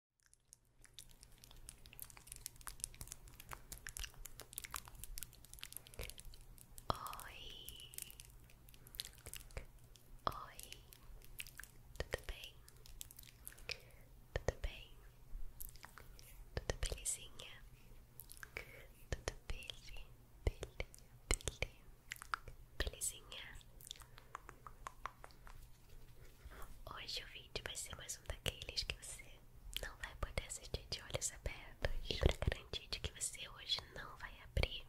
Oi, oi, tudo bem? Tudo bem? Tudo belezinha? Tudo bele, bele, Hoje o vídeo vai ser mais um daqueles que você não vai poder assistir de olhos abertos. Para garantir que você hoje não vai abrir,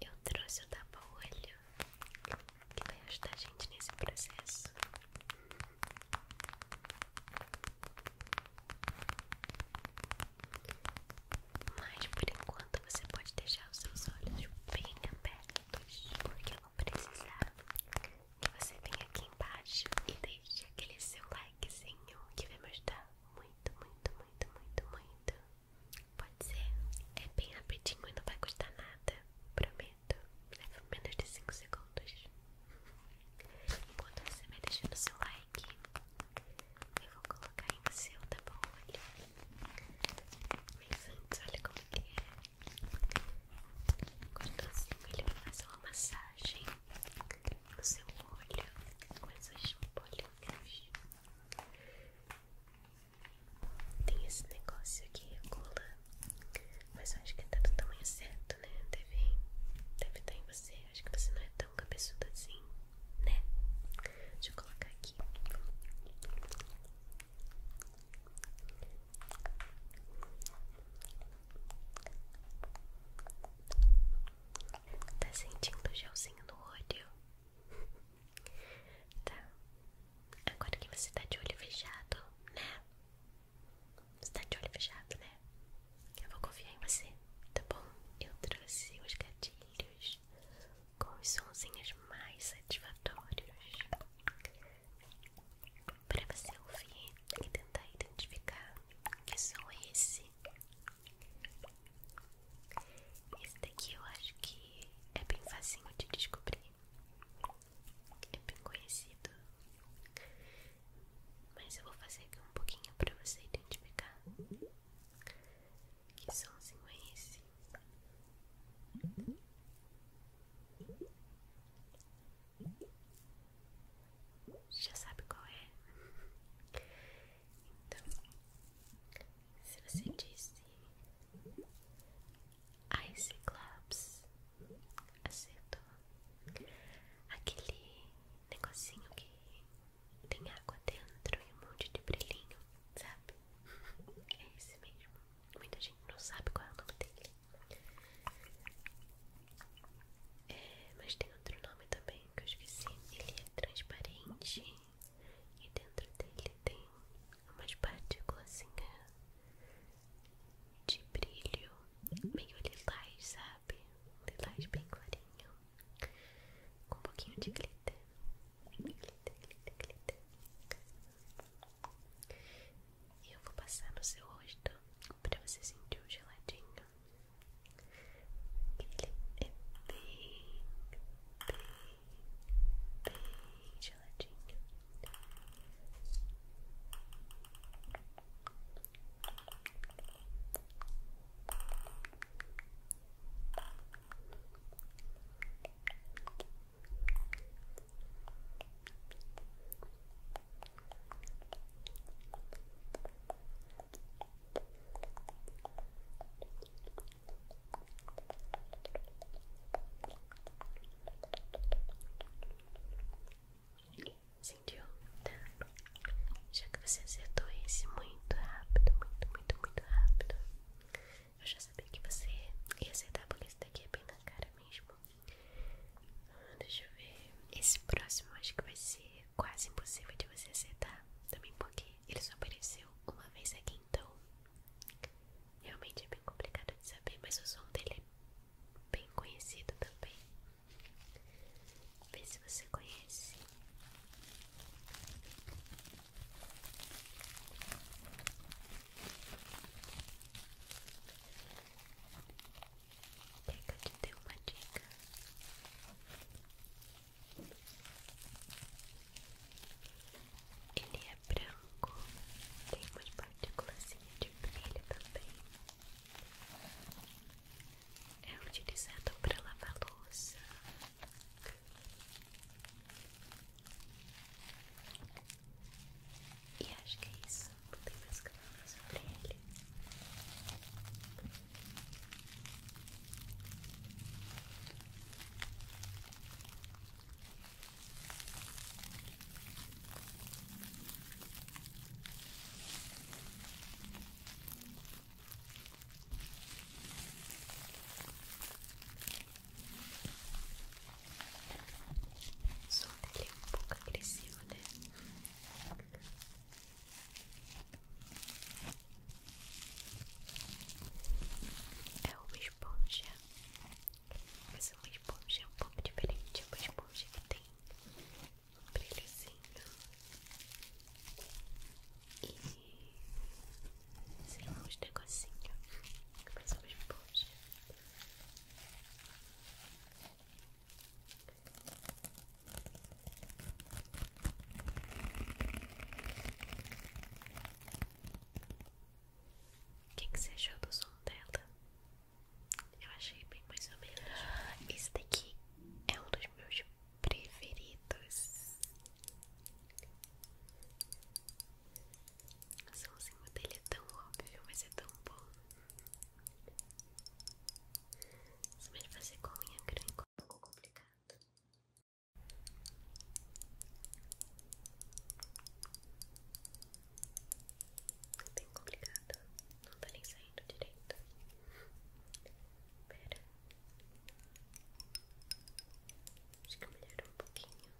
eu trouxe o tapa-olho que vai ajudar a gente nesse processo. Mas por enquanto você pode deixar os seus olhos bem abertos porque eu vou precisar que você venha aqui embaixo e deixe aquele seu likezinho que vai me ajudar muito, muito, muito, muito, muito. Pode ser? É bem rapidinho e não vai custar nada, prometo. Leva menos de 5 segundos. Enquanto você vai deixando o seu like, eu vou colocar em seu, tá bom? Olha. Mas antes, olha como que é assim ele vai fazer uma massagem no seu olho com essas bolinhas. Tem esse negócio aqui, cola, mas eu acho que tá do tamanho certo, né? Deve, deve estar em você. Acho que você não é tão cabeçuda assim, né? Deixa eu colocar aqui. Tá sentindo o gelzinho no olho? Tá. Agora que você tá de olho fechado, né? Você tá de olho fechado, né? Eu vou confiar em você, tá bom? Eu trouxe os gatilhos com os sonzinhos mais satisfatórios para você ouvir e tentar identificar que som é esse. Esse daqui eu acho que é bem facinho de descobrir, é bem conhecido, mas eu vou fazer aqui um pouquinho para você identificar. Que som é esse? Já sabe qual é? Então, se você disse clubs acertou aquele negocinho que tem água dentro e um monte de brilhinho, sabe? É esse mesmo. Muita gente não sabe qual é o nome dele. É, mas tem outro nome também que eu esqueci. Ele é transparente e dentro dele tem umas partículas assim, é, de brilho meio lilás, sabe? Lilás bem clarinho, com um pouquinho de glitter. Glitter, glitter, glitter. Eu vou passar no seu rosto para você sentir o geladinho. Ele é bem, geladinho. Sentiu? Já que você acertou esse muito rápido, muito, muito, muito rápido, eu já sabia que você ia aceitar porque esse daqui é bem na cara mesmo. Ah, deixa eu ver. Esse próximo acho que vai ser quase impossível de você aceitar. Também porque ele só apareceu uma vez aqui, então. Realmente é bem complicado de saber, mas o som dele é bem conhecido também. Vê se você conhece. Pega te deu uma dica. Ele é branco, tem umas partículas de brilho também. É utilizado para lavar louça, e acho que é isso. Não tem mais que sobre ele. O som dele é um pouco agressivo, né? É uma esponja, mas é uma esponja é um pouco diferente, é uma esponja que tem um brilhozinho e sei lá, uns negocinhos que parecem umas bolsas. O que, que você achou do som dela? Eu achei bem mais ou menos. Esse daqui é um dos meus preferidos. O somzinho dele é tão óbvio, mas é tão bom. Se me fazer com unha grande ficou um pouco complicado. É bem complicado. Não tá nem saindo direito. Pera. Acho que melhorou um pouquinho.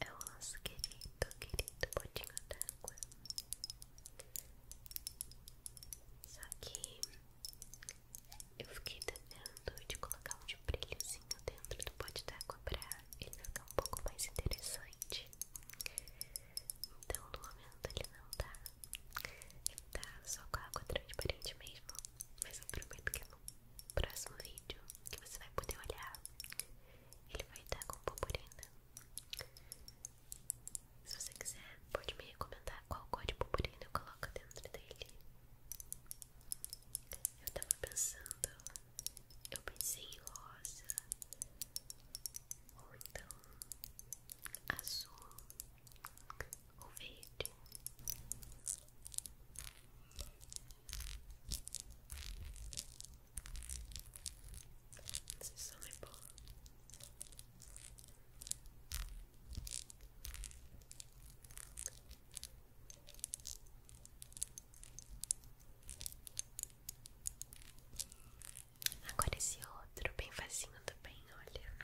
É o nosso querido, querido potinho d'água. Só que eu fiquei tentando de colocar um de brilhozinho dentro do pote d'água pra ele ficar um pouco mais interessante. Então no momento ele não tá. Ele tá só com a água transparente mesmo. Mas eu prometo que eu não próximo vídeo que você vai poder olhar, ele vai estar com purpurina. Se você quiser, pode me recomendar qual cor de purpurina eu coloco dentro dele. Eu estava pensando, eu pensei em rosa, ou então azul, ou verde. Esse som é bom. Agora esse outro, bem facinho também, olha.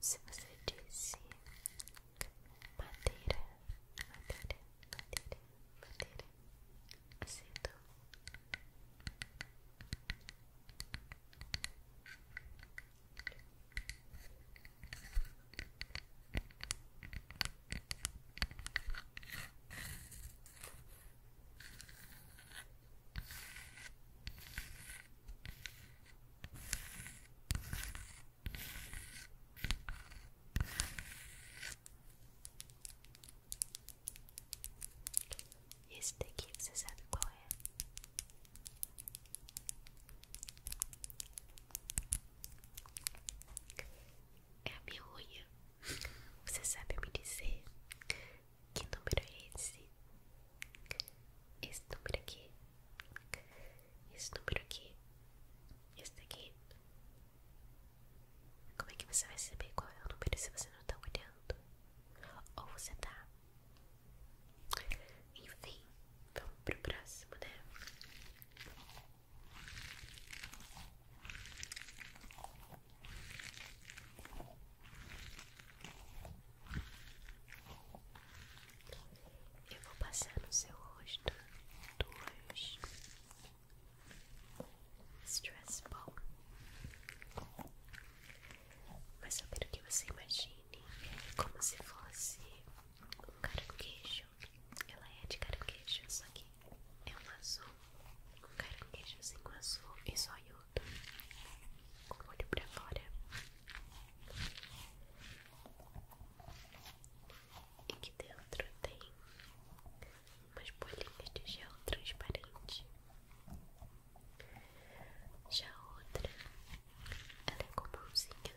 Se você disse madeira, madeira, madeira, madeira, aceto, Madeira, esse daqui você sabe qual é? É a minha unha. Você sabe me dizer que número é esse? Esse número aqui? esse número aqui, esse daqui. Como é que você vai saber qual é o número se você não tá olhando? Ou você tá? Enfim, vamos pro próximo, né? Eu vou passar no seu rosto duas stress balls, Mas eu quero que você imagine como se fosse um cara queijo. Ela é de cara queijo, só que é um azul. Um cara caranguejozinho azul e só Com o olho pra fora e que dentro tem umas bolinhas de gel transparente. Já a outra, ela é com comumzinha,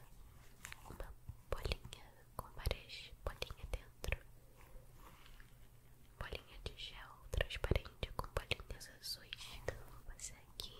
uma bolinha com várias bolinhas dentro, bolinha de gel transparente com bolinhas azuis. Então, vou passar aqui.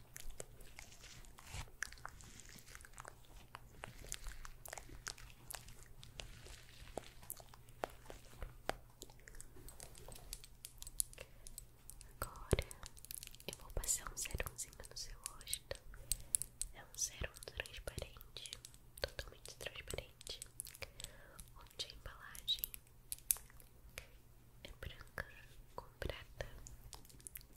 Agora eu vou passar um serumzinho no seu rosto. É um serum transparente, totalmente transparente, onde a embalagem é branca com prata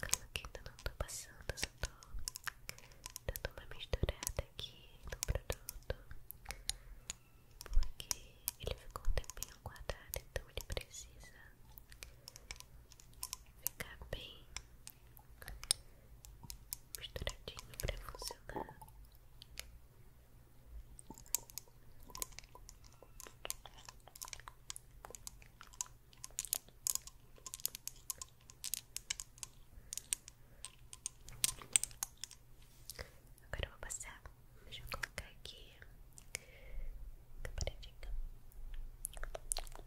Calma que ainda tá, não tô passando, só tô dando uma misturada aqui no produto Porque ele ficou um tempinho guardado, então ele precisa ficar bem misturadinho pra funcionar Agora eu vou passar. Deixa eu colocar aqui. Fica paradinho. Agora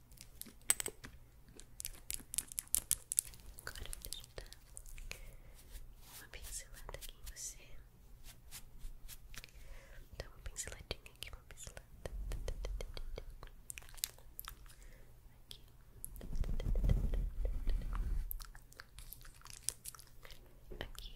Agora eu vou dar uma pincelada aqui em você. Dá uma pinceladinha aqui, uma pincelada. Aqui. Aqui.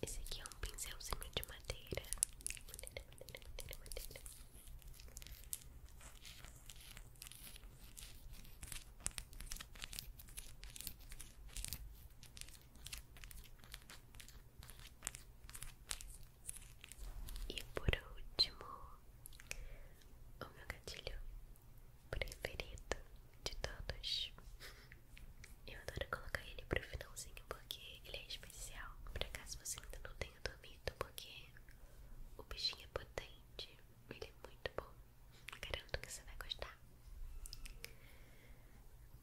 Esse aqui é um pincelzinho de madeira. madeira. E por último, o meu gatilho preferido de todos. Eu adoro colocar ele pro finalzinho porque ele é especial. Pra caso você ainda não tenha dormido, porque o bichinho é potente. Ele é muito bom. Garanto que você vai gostar.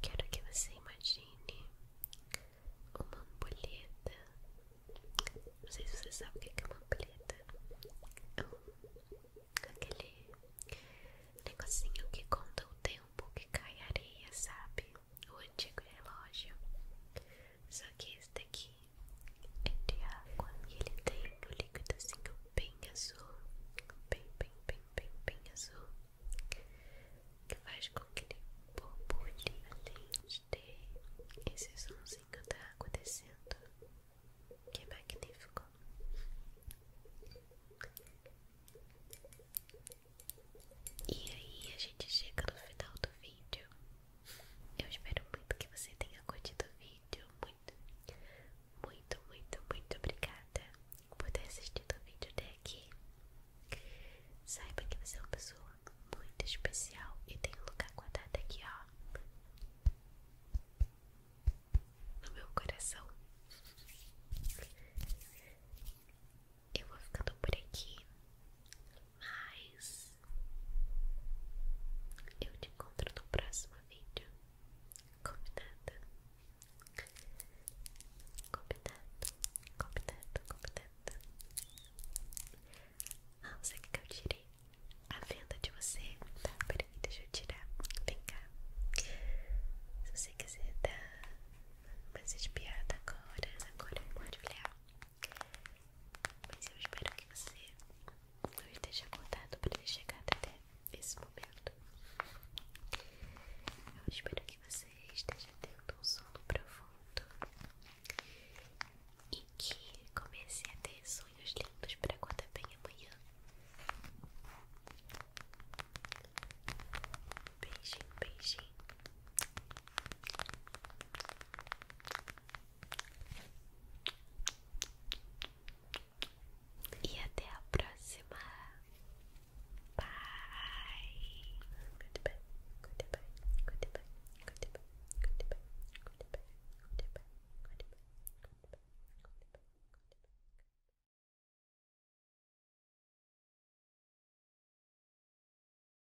Quero que você imagine uma ampulheta. Não sei se você sabe o que é uma ampulheta. É aquele negocinho que conta o tempo que cai areia, sabe? O antigo relógio. Só que esse daqui é de água e ele tem tá um líquidozinho assim, bem azul, bem, bem, bem, bem, bem azul, que faz com que ele borbulhe além de ter esse somzinho da água descendo, que é magnífico. E aí a gente chega no final do vídeo eu espero muito que você tenha curtido o vídeo. Muito, muito, muito, muito obrigada por ter assistido o vídeo até aqui. Saiba que você é uma pessoa muito especial e tem um lugar guardado aqui, ó. No meu coração. Eu vou ficando por aqui. Mas eu te encontro no próximo vídeo. Combinado? Combinado, combinado, combinado. Ah, você quer que eu tirei a venda de você? Tá, peraí, deixa eu tirar. Vem cá. Se você quiser dar mais espiada agora, agora pode olhar. Mas eu espero que você não esteja acordado para ter chegado até esse momento. Eu espero que você esteja tendo um sono profundo e que comece a ter sonhos lindos para acordar bem amanhã. Beijinho, beijinho. E até a próxima. Bye. Goodbye. Goodbye. Goodbye. Goodbye. Goodbye. Goodbye. Goodbye. Goodbye.